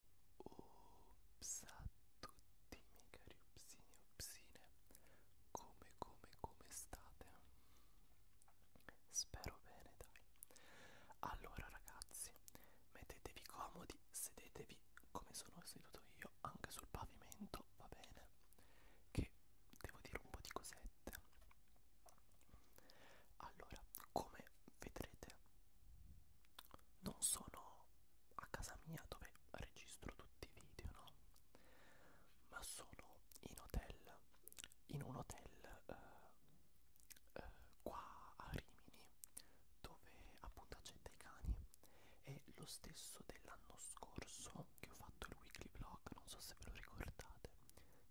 Ups a tutti i miei cari upsini e upsine Come come come state? Spero bene dai Allora ragazzi mettetevi comodi Sedetevi come sono seduto io anche sul pavimento va bene Che devo dire un po' di cosette Allora come vedrete non sono a casa mia dove registro tutti i video no ma sono in hotel in un hotel eh, eh, qua a Rimini dove appunto accetta i cani è lo stesso dell'anno scorso che ho fatto il weekly vlog non so se ve lo ricordate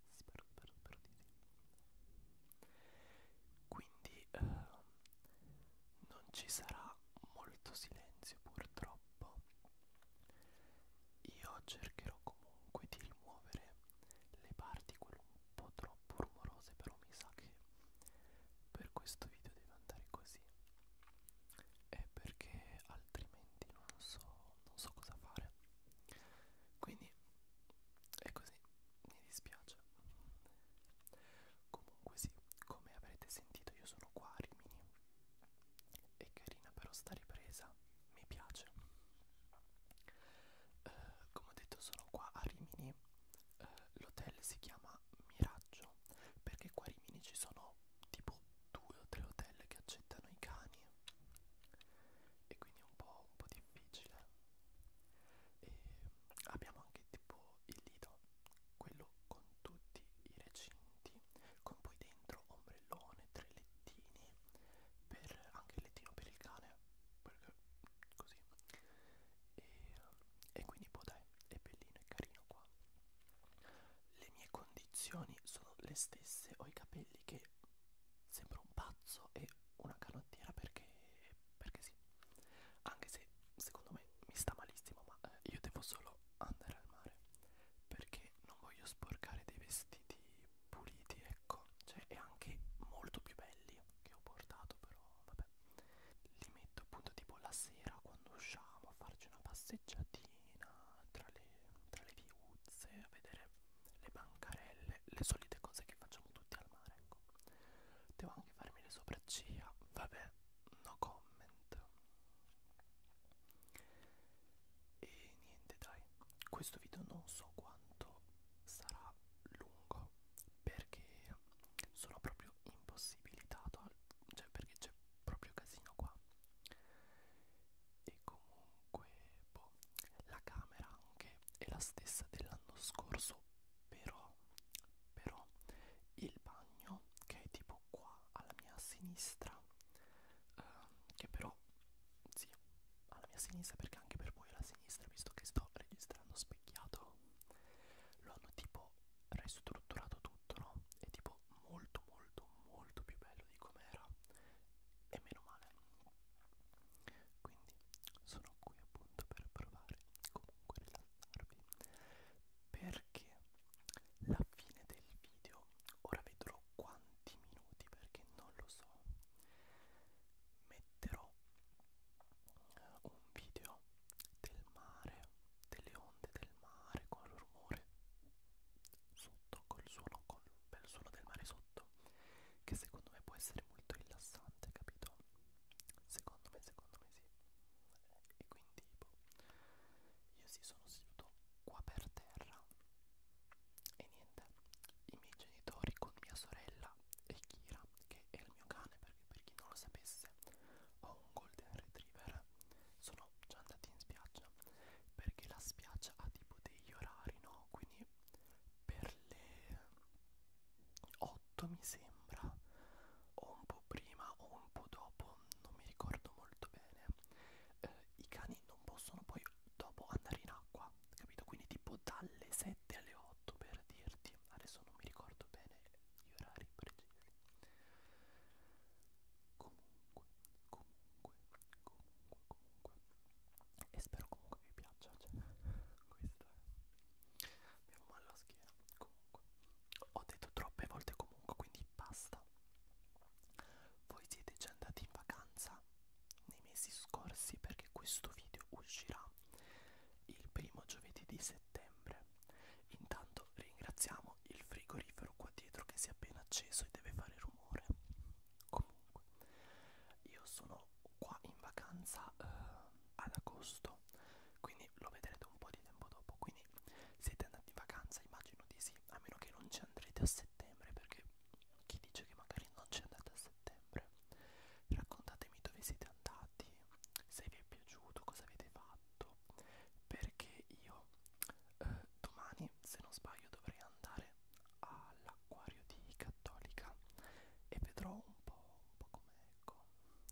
spero, spero, spero di sì. Quindi eh, non ci sarà molto silenzio purtroppo. Io cercherò comunque di rimuovere le parti quelle un po' troppo rumorose, però mi sa che per questo video deve andare così. È perché altrimenti non so, non so cosa fare. Quindi e così mi dispiace. Comunque sì, come avrete sentito io sono qua a Rimini. È carina però sta ripresa, mi piace. Eh, come ho detto sono qua a Rimini. Eh, L'hotel si chiama Miraggio perché qua a Rimini ci sono tipo due o tre hotel che accettano i cani e quindi è un po', un po difficile e mm, abbiamo anche tipo il lido quello con tutti i recinti con poi dentro ombrellone tre lettini per anche il lettino per il cane perché così e, mm, e quindi poi dai è bellino è carino qua le mie condizioni sono le stesse ho i capelli che sembra un pazzo e una canottiera perché, perché sì anche se secondo me mi sta malissimo ma eh, io devo solo andare al mare perché non voglio sporcare dei vestiti puliti ecco cioè e anche molto più belli che ho portato però vabbè li metto appunto tipo la sera quando usciamo a farci una passeggiatina tra le, tra le viuzze a vedere le bancarelle, le solite cose che facciamo tutti al mare, ecco. Devo anche farmi le sopracciglia, vabbè, no comment. E niente dai, questo video non so quanto sarà lungo perché sono proprio impossibilitato, cioè perché c'è proprio casino qua e comunque boh, la camera anche è la stessa dell'anno scorso però però il bagno che è tipo qua alla mia sinistra eh, che però sì alla mia sinistra perché anche per voi alla sinistra visto che sto registrando specchiato lo hanno tipo ristrutturato tutto no e tipo molto molto molto più bello di com'era e meno male quindi sono qui appunto per provare comunque a rilassarvi perché la fine del video ora vedrò quanti minuti perché non lo so metterò eh, un video del mare delle onde del mare con il rumore sotto, col suono, col bel suono del mare sotto, che secondo me può essere molto rilassante, capito? Secondo me, secondo me sì. E quindi, boh, io sì, sono seduto qua per terra e niente, i miei genitori con mia sorella e Kira, che è il mio cane, perché per chi non lo sapesse, ho un golden retriever sono già andati in spiaggia perché la spiaggia ha tipo degli orari no quindi per le 8 mi sembra o un po' prima o un po' dopo non mi ricordo molto bene eh, i cani non possono poi dopo andare in acqua capito quindi tipo dalle 7 alle 8 per dirti adesso non mi ricordo bene gli orari precisi comunque comunque comunque comunque e spero comunque vi piaccia cioè, questa è mi ha male la schiena comunque ho detto troppe volte comunque quindi basta voi siete già andati in vacanza nei mesi scorsi perché questo video uscirà il primo giovedì di settembre settembre. Intanto ringraziamo il frigorifero qua dietro che si è appena acceso e deve fare rumore. Comunque, io sono qua in vacanza eh, ad agosto, quindi lo vedrete un po' di tempo dopo. Quindi siete andati in vacanza, immagino di sì, a meno che non ci andrete a settembre, perché chi dice che magari non ci andate a settembre? Raccontatemi dove siete andati, se vi è piaciuto, cosa avete fatto, perché io eh, domani, se non sbaglio, dovrei andare all'acquario di Cattolica e vedrò un po', un po' come ecco,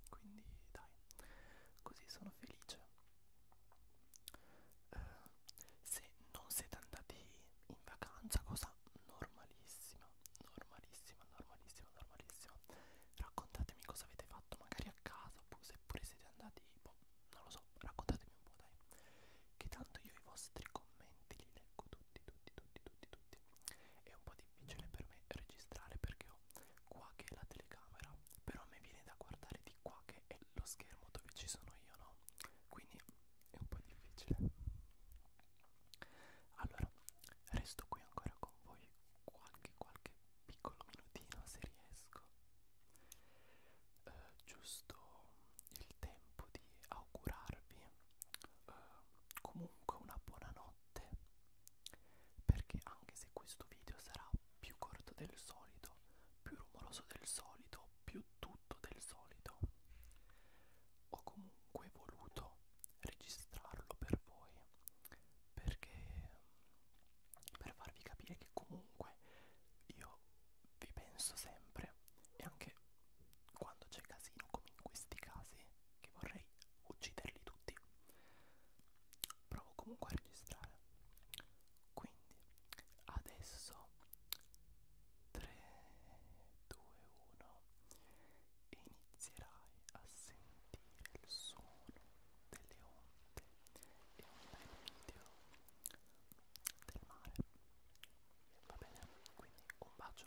quindi dai, così sono felice. Eh, se non siete andati in vacanza, cosa normalissima, normalissima, normalissima, normalissima. Raccontatemi cosa avete fatto magari a casa oppure seppure siete andati, boh, non lo so, raccontatemi un po' dai. Che tanto io i vostri commenti li leggo tutti, tutti, tutti, tutti, tutti. È un po' difficile per me registrare perché ho qua che è la telecamera, però a me viene da guardare di qua che è lo schermo dove ci sono io, no? Quindi è un po' difficile allora resto qui ancora con voi qualche qualche piccolo minutino se riesco eh, giusto il tempo di augurarvi eh, comunque una buona notte perché anche se questo video sarà più corto del solito più rumoroso del solito più tutto del solito ho comunque voluto registrarlo per voi perché per farvi capire che comunque io vi penso sempre e anche quando c'è casino come in questi casi che vorrei ucciderli tutti provo comunque a registrare quindi adesso 3 2 1 e inizierai a sentire il suono delle onde e un bel video del mare. Va bene? Quindi un bacio.